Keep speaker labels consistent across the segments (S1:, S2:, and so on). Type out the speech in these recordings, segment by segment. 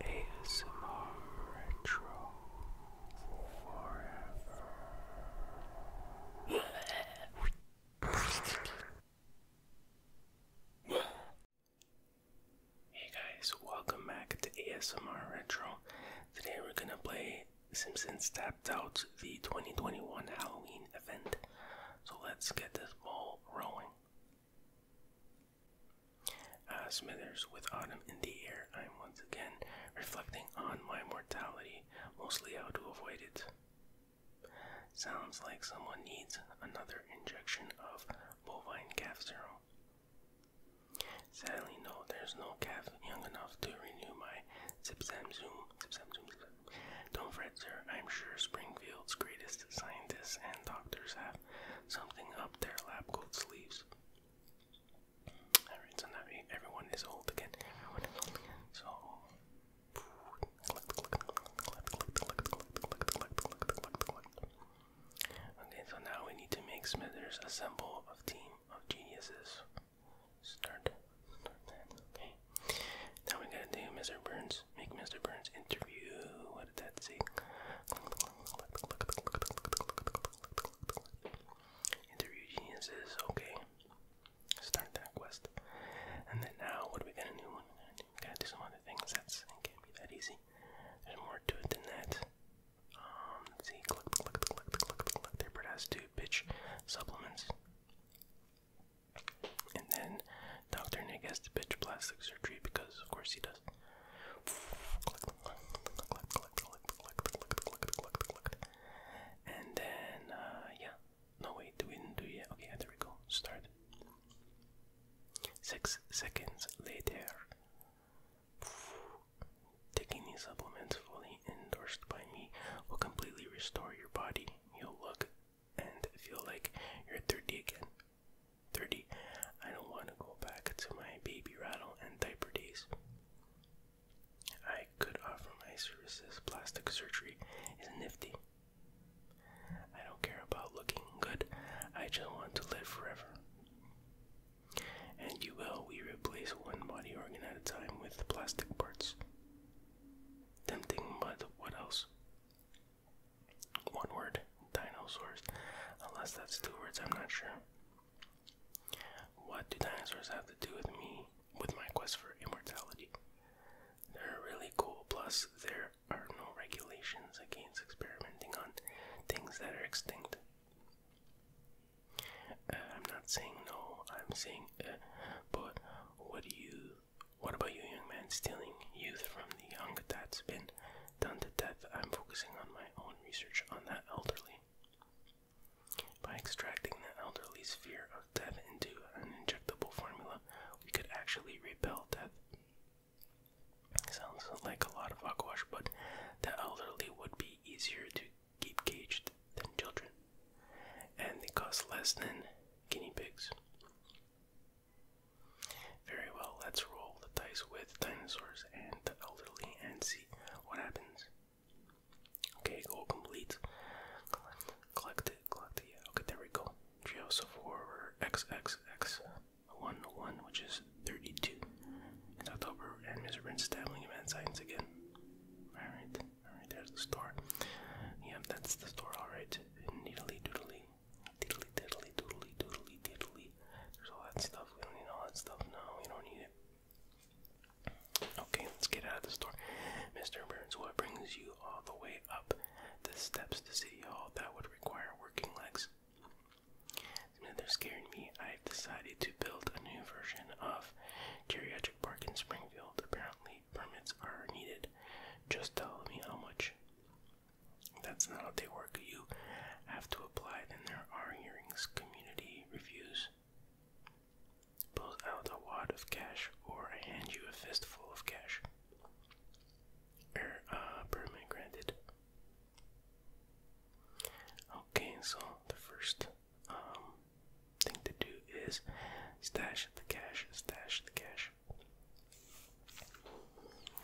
S1: ASMR Retro Forever. Hey guys, welcome back to ASMR Retro. Today we're gonna play Simpsons Tapped Out, the 2021 Halloween event. So let's get this ball rolling. Ah, Smithers, with autumn in the air, I am once again reflecting on my mortality, mostly how to avoid it. Sounds like someone needs another injection of bovine calf serum. Sadly, no, there's no calf young enough to renew my zipsamzoom. Don't fret, sir. I'm sure Springfield's greatest scientists and doctors have something up their lab coat sleeves. Alright, so now everyone is old again. So Okay, so now we need to make Smithers a symbol of team of geniuses. Start, Okay. Now we gotta do Mr. Burns. Make Mr. Burns interview that say? Interview geniuses. Okay. Start that quest. And then now, what do we got a new one? gotta do some other things. That's it can't be that easy. There's more to it than that. Um, see. Click, click, click, click, click, supplements. And then Dr. Nick has to pitch plastic surgery because, of course, he does. And then, uh, yeah. No, wait, do we do yet? Okay, there we go. Start. Six seconds later. Taking these supplements fully endorsed by me will completely restore your body. You'll look and feel like you're 30 again. 30. I don't want to go back to my baby rattle and diaper days. I could offer my services. Plastic surgery is nifty. I don't care about looking good. I just want to live forever. And you will. We replace one body organ at a time with plastic parts. Tempting, but what else? One word, dinosaurs. Unless that's two words, I'm not sure. What do dinosaurs have to do with me, with my quest for immortality? They're really cool, plus, there are no regulations against experimenting on things that are extinct. Uh, I'm not saying no, I'm saying, uh, but what do you, what about you, young man, stealing youth from the young? That's been done to death, I'm focusing on my own research on that elderly. By extracting the elderly's fear of death into an injectable formula, we could actually repel death. Sounds like a lot of aquash, but the elderly would be easier to keep caged than children, and they cost less than guinea pigs. Very well, let's roll the dice with dinosaurs and the elderly and see what happens. Okay, goal complete. Collect, it, collect it. okay, there we go. Geosophore XXX11, which is 32. In October, and Mr. Rin's dabbling in science again. Alright, alright, there's the store. Yep, that's the store, alright. Needly doodly diddly diddly doodly doodly diddly. There's all that stuff. We don't need all that stuff now. We don't need it. Okay, let's get out of the store. Mr. Burns, what brings you all the way up the steps to City Hall that would require working legs? They're scaring me. I've decided to build a new version of Geriatric Park in Springfield. Apparently, permits are needed. Just tell me how much. That's not how they work. You have to apply, then there are hearings. Community reviews. Pull out a wad of cash or hand you a fistful of cash. Er, uh, permit granted. Okay, so the first um, thing to do is stash the cash, stash the cash.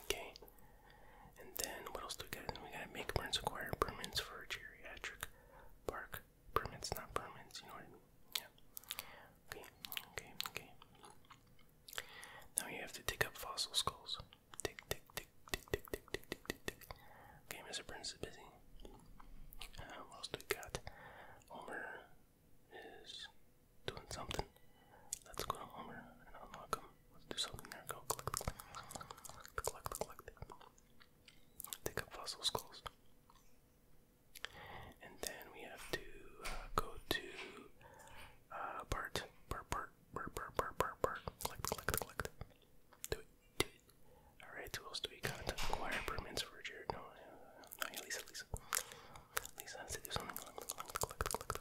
S1: Okay. And then what else do we got? we got make permits, acquire permits for geriatric park. Permits, not permits, you know what I mean? Yeah. Okay, okay, okay. Now you have to dig up fossil skulls. Tick, tick, tick, tick, tick, tick, tick, tick, tick, tick. Okay, Mr. Burns is busy. Um, what else do we got? Homer is doing something. Let's go to Homer and unlock him. Let's do something there. Go collect, collect, collect, collect. Take up fossil skulls. And then we have to uh, go to uh, Bart. Bart, Bart, Bart, Bart, Bart, Bart, Bart. Collect, collect, collect. Do it, do it. Alright, who else do we got? Acquire permits for Jared. No, uh, no, yeah, Lisa, Lisa. Lisa has to do something. Collect, collect, collect, collect.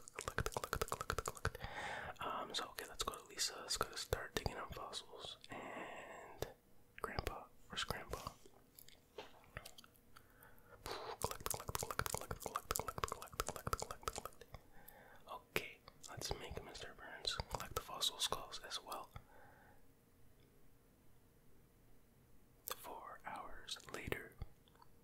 S1: Um, so okay, let's go to Lisa. Let's go to start digging up fossils and Grandpa. Where's Grandpa? Collect, Okay, let's make Mr. Burns collect the fossil skulls as well. Four hours later,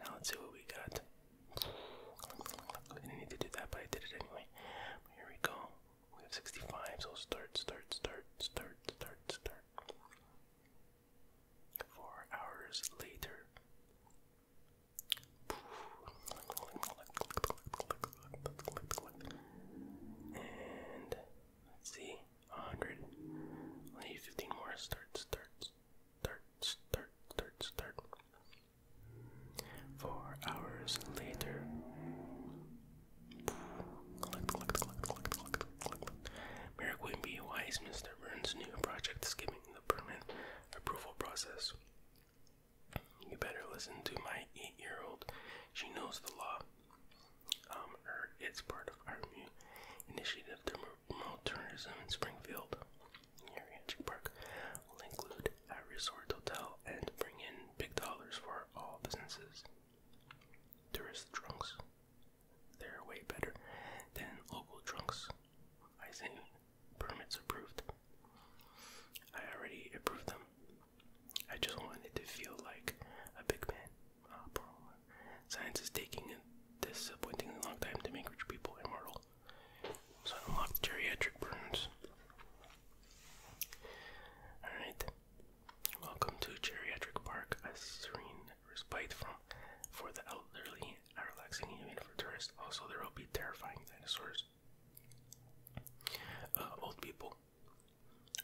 S1: Now let's see what we got. didn't need to do that, but I did it anyway. here we go. We have 65, so start, start, start, start, start, start. Four hours later. And let's see, 100. need 15 more. Start, start, thirds, third, thirds, third. Four hours later. Collect, collect, collect, collect, collect, collect. Burns' new project skipping the permit approval process. You better listen to my eight-year-old. She knows the law. Um, er, it's part of our new initiative to Alternatism in Springfield, near Antic Park, will include a resort hotel and bring in big dollars for all businesses. Tourist drunks, they're way better than local drunks. I say permits approved. I already approved them. I just wanted to feel like a big man. Uh, Science is taking a disappointingly long time to make rich people immortal. So unlock geriatric burns. Alright. Welcome to Geriatric Park, a serene respite from for the elderly, a relaxing haven for tourists. Also there will be terrifying dinosaurs. Uh, old people.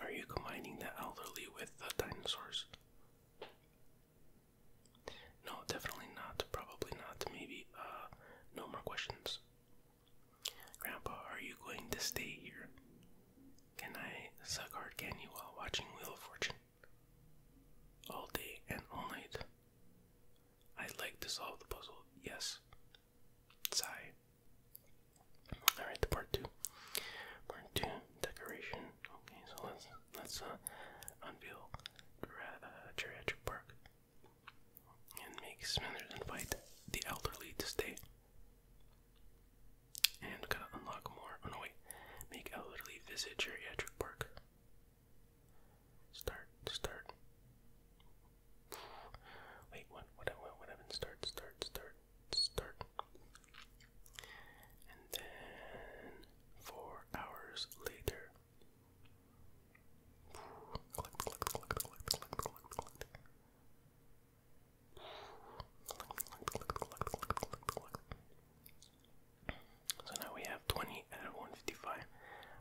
S1: Are you combining the elderly with the dinosaurs? No, definitely not. Probably not. Maybe, uh, no more questions. Grandpa, are you going to stay here? Can I suck hard candy while watching Wheel of Fortune? All day and all night. i like to solve the puzzle, yes. Sigh. Alright, part two. Part two, decoration Okay, so let's let's uh, unveil uh, geriatric park and make Smithers invite the elderly to stay. And gotta unlock more. Oh no, wait. Make elderly visit geriatric park. Start, start. Wait, what? What? What? What happened? Start, start, start, start. And then four hours later. So now we have 20 out of 155.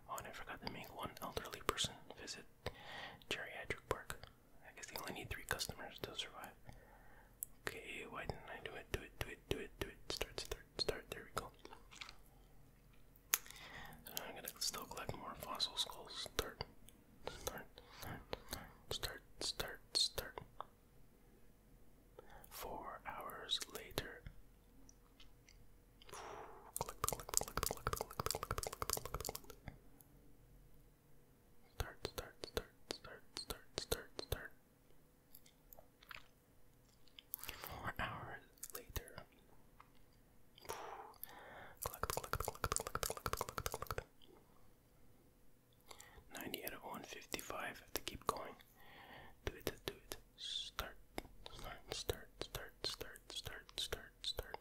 S1: Oh, and I forgot to make one elderly person visit Geriatric Park. I guess they only need three customers to survive. Okay, why didn't I do it? Do it, do it, do it, do it. Start, start, start, there we go. I'm gonna still collect more fossil skulls. Start, start, start, start, start, Four hours later. Start, start, start, start, start, start, start. Four hours later. 90 out of 155. have to keep going. Do it, do it. start, start, start, start, start, start, start.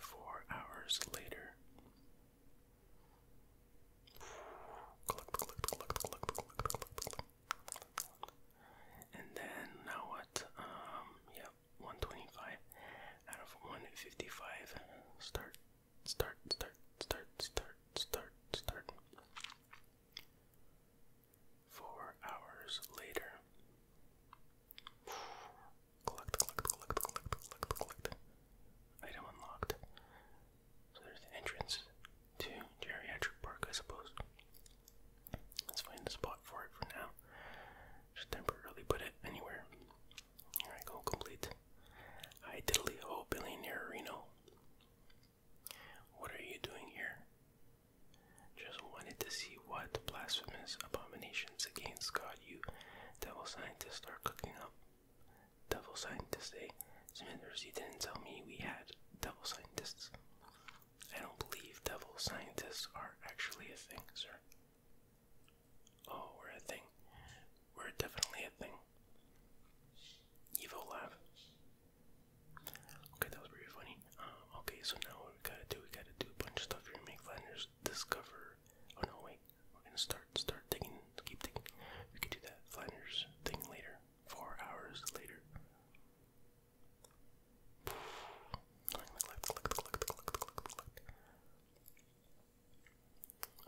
S1: Four hours later. Collect, collect, collect, collect, collect, collect, collect. And then now what? Um, yep, yeah, 125 out of 155. Start, start, start, start, start, start, start. Four hours later. collect, collect, collect, collect, collect, collect. Item unlocked. So there's the entrance to Geriatric Park, I suppose. Let's find a spot for it for now. Just temporarily put it anywhere. Alright, go complete. Hi diddly ho billionaire Reno. What are you doing here? Just wanted to see what blasphemous abominations against God you devil scientists are cooking up double scientists. Day. Eh? Smithers, you didn't tell me we had double scientists. I don't believe double scientists are actually a thing, sir. Oh, we're a thing. We're definitely a thing. Evil laugh. Okay, that was pretty funny. Um, okay, so now what we gotta do, we gotta do a bunch of stuff here to make Flanders discover. Oh no, wait. We're gonna start start start digging. Keep digging. We could do that Flanders thing later. Four hours later.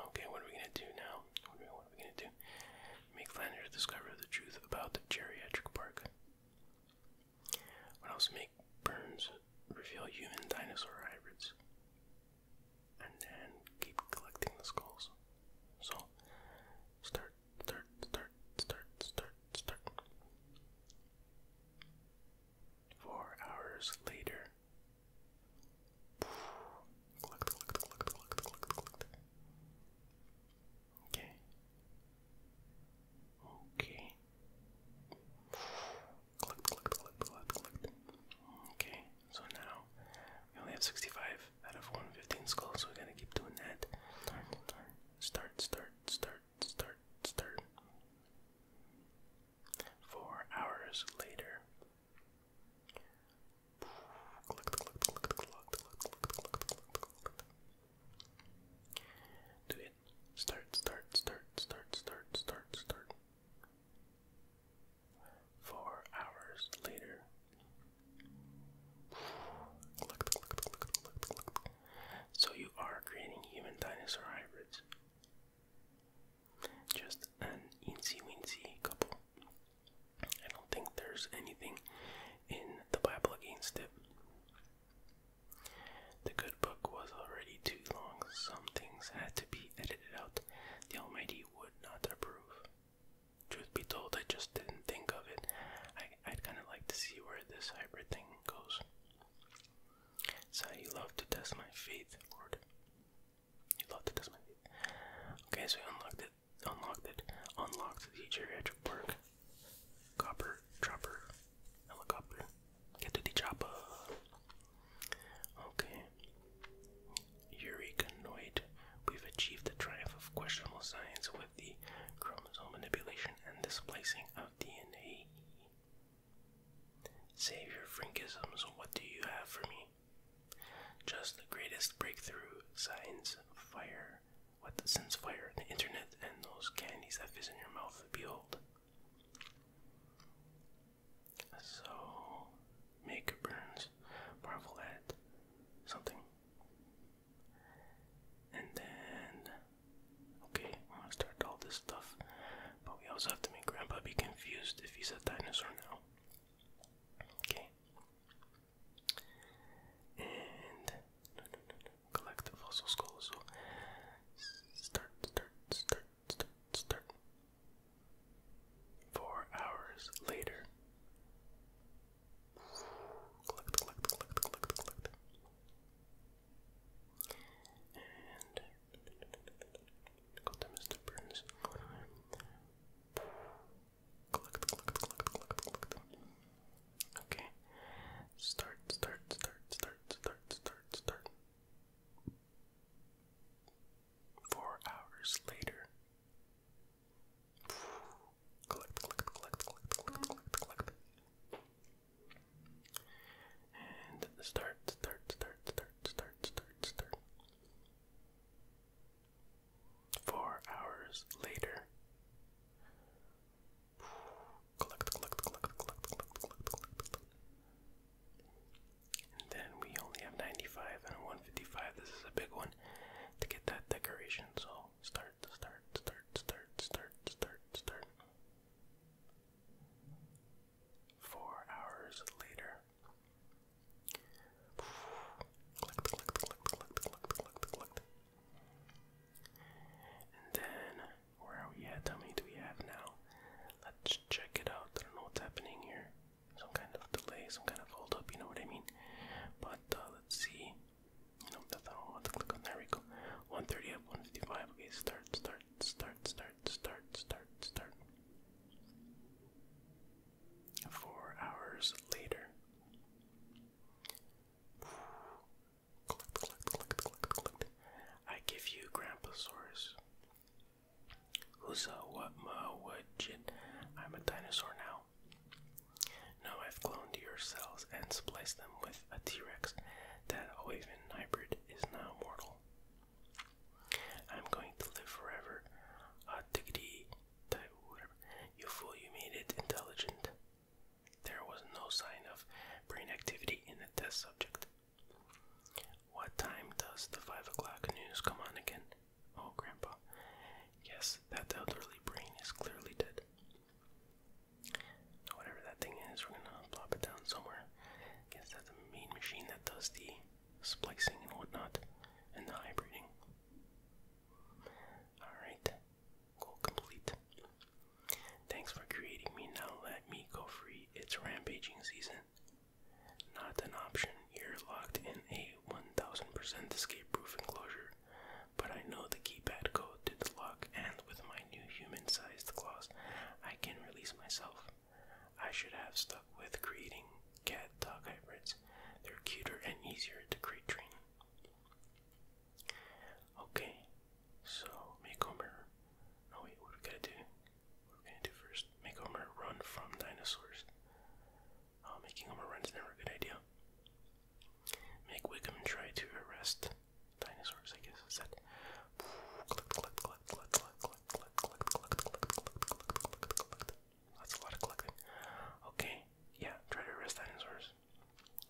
S1: Okay, what are we gonna do now? What are we, gonna do? Make Flanders discover the truth about the geriatric park. What else? Make Burns reveal human dinosaur hybrids and then keep collecting the skulls. So start, start, start, start, start, start. Four hours later. Collect, collect, collect, collect, collect, collect. Okay. Okay. Collect, collect, collect, collect, collect. Okay, so now we only have 65 out of 115 skulls, so we gotta keep doing that. Start, start, start, start, start. Four hours later. Do it. Start, start, start, start, start, start, start. Four hours later. So you are creating human dinosaur hybrids. Just an eensy weensy couple. I don't think there's anything in the Bible against it. The good book was already too long, some things had to be edited out. The Almighty would not approve truth be told, I just didn't think of it. I, I'd kind of like to see where this hybrid thing goes. So you love to test my faith, Lord. You love to test my faith. Okay, so we unlocked it. Unlocked it. Unlocked the geriatric park. Copper chopper. Helicopter. Get to the chopper. Okay. Eureka Noid. We've achieved the triumph of questionable science with the chromosome manipulation and displacing of DNA. Save your frankisms, what do you have for me? Just the greatest breakthrough science fire. What the since fire, the internet, and those candies that fizz in your mouth, behold. So, Make Burns, marvel at something. And then, okay, I'm gonna start all this stuff. But we also have to make Grandpa be confused if he's a dinosaur now. Okay. And collect the fossil skull. So start, start, start, start, start. Four hours later. And go to Mr. Burns. Okay. Start, start, start, start, start, start, start. Four hours later. Collect, And start, start, start, start, start, start, start. Four hours later. And then we only have 95 and 155. This is a big one to get that decoration. So start, start, start, start, start, start, start. Four hours later. Clicked, clicked, clicked, clicked, clicked, clicked, clicked. And then, where are we at? How many do we have now? Let's check it out. I don't know what's happening here some kind of delay, some kind of hold up, you know what I mean? But uh, let's see. No, that's not what I want to click on. There we go. 130 up, 155. Okay, start, start, start, start, start, start, start. Four hours later. Click, click, click, click, click. I give you Grandpasaurus. Who's a what, ma, what, jin? I'm a dinosaur now. Now I've cloned your cells and spliced them with a T-Rex. That Oaven hybrid is now mortal. I'm going to live forever. Uh, diggity, whatever. You fool, you made it intelligent. There was no sign of brain activity in the test subject. What time does the 5 o'clock news come on again? Oh, Grandpa. Yes, that elderly brain is clearly dead. Whatever that thing is, we're gonna plop it down somewhere. guess that's the main machine that does the splicing and whatnot, and the hybriding. Alright, goal complete. Thanks for creating me. Now let me go free. It's rampaging season. Not an option. You're locked in a 1000% escape proof enclosure, but I know the keypad code to the lock, and with my new human sized claws, I can release myself. I should have stuck with creating cat dog hybrids, they're cuter and easier to create Training. Okay, so makeover. No, wait, what do we gotta do? What do first? Makeover run from dinosaurs. Uh, making him a is never a good idea. Make Wickham try to arrest dinosaurs, I guess. that That's a lot of collecting. Okay, yeah, try to arrest dinosaurs.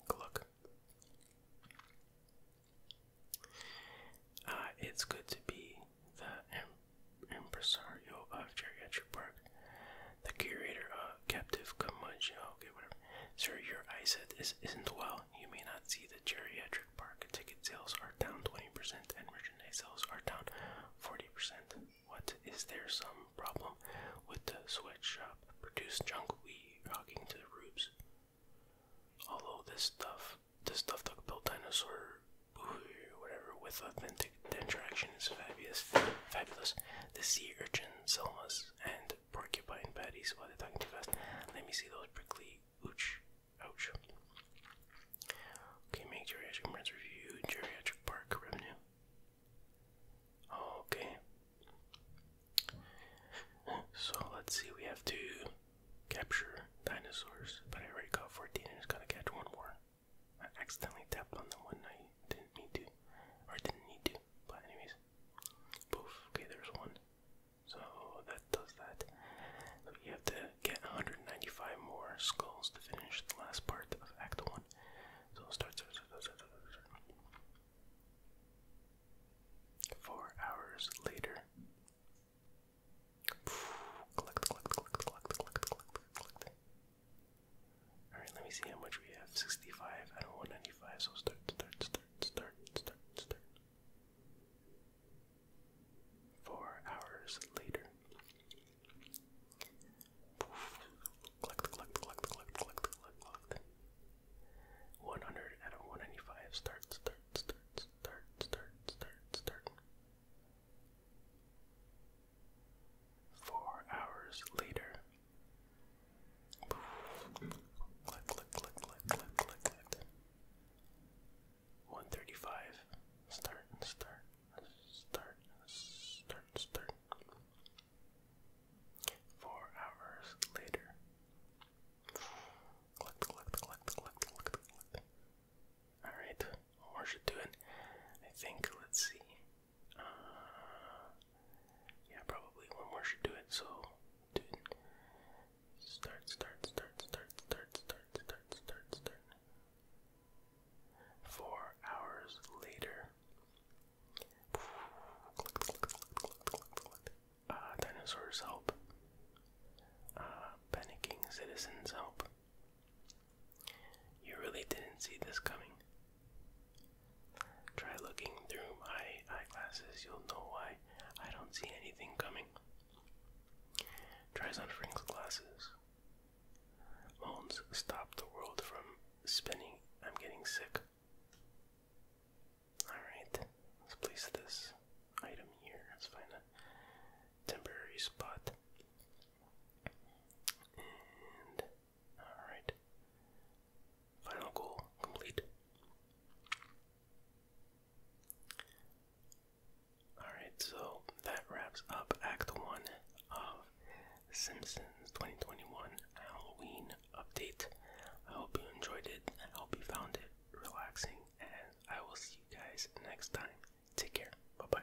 S1: Good luck. it's good to be the impresario of geriatric park, the curator of captive curmudgeon. Okay, whatever. Sir, your eyesight is, isn't well. You may not see the geriatric park ticket sales are down 20% and merchandise sales are down 40%. What is there some problem with the sweatshop? Produce junk we rocking to the rubes. Although this stuff, this stuff that built dinosaur, whatever, with authentic. The interaction is fabulous. Fabulous. The sea urchin, selmas, and porcupine patties. While they're talking too fast, let me see those prickly. Ouch! Ouch! Okay, make geriatric friends geriatric park revenue. Okay. So let's see. We have to capture dinosaurs, but I already caught 14 and it to catch one more. I accidentally tapped on the one I Didn't need to. Or didn't need to. But anyways. Poof. Okay, there's one. So that does that. We have to get 195 more skulls to finish the last part of Act 1. So start, start, start, start, start, start. Four hours later. Collect, collect, collect, collect, collect, collect, collect. Alright, let me see how much we have. 65. I don't want 95, so start, start, start, start, start, start. Four hours later. Poof. Collect, collect, collect, collect, collect, collect, collect. 100 out of 195. Start, start, start, start, start, start, start. Four hours later. Click, click, click, click, click, click, 135. Start, start, start, start, start. Four hours later. Click, click, click, click, click, click. Alright, what should do it. I think, let's see. Uh, yeah, probably one more should do it. So, start, start, start, start, start, start, start, start, start. Four hours later. Uh, dinosaurs help. Uh, panicking citizens help. You really didn't see this coming. Try looking through my eyeglasses, you'll know why I don't see anything coming. Tries on Frink's glasses. Moans stop the world from spinning. I'm getting sick. Alright, let's place this item here. Let's find a temporary spot. Alright. Final goal complete. Alright, so that wraps up Act 1 of Simpsons 2021 Halloween update. I hope you enjoyed it. I hope you found it relaxing, and I will see you guys next time. Take care. Bye bye.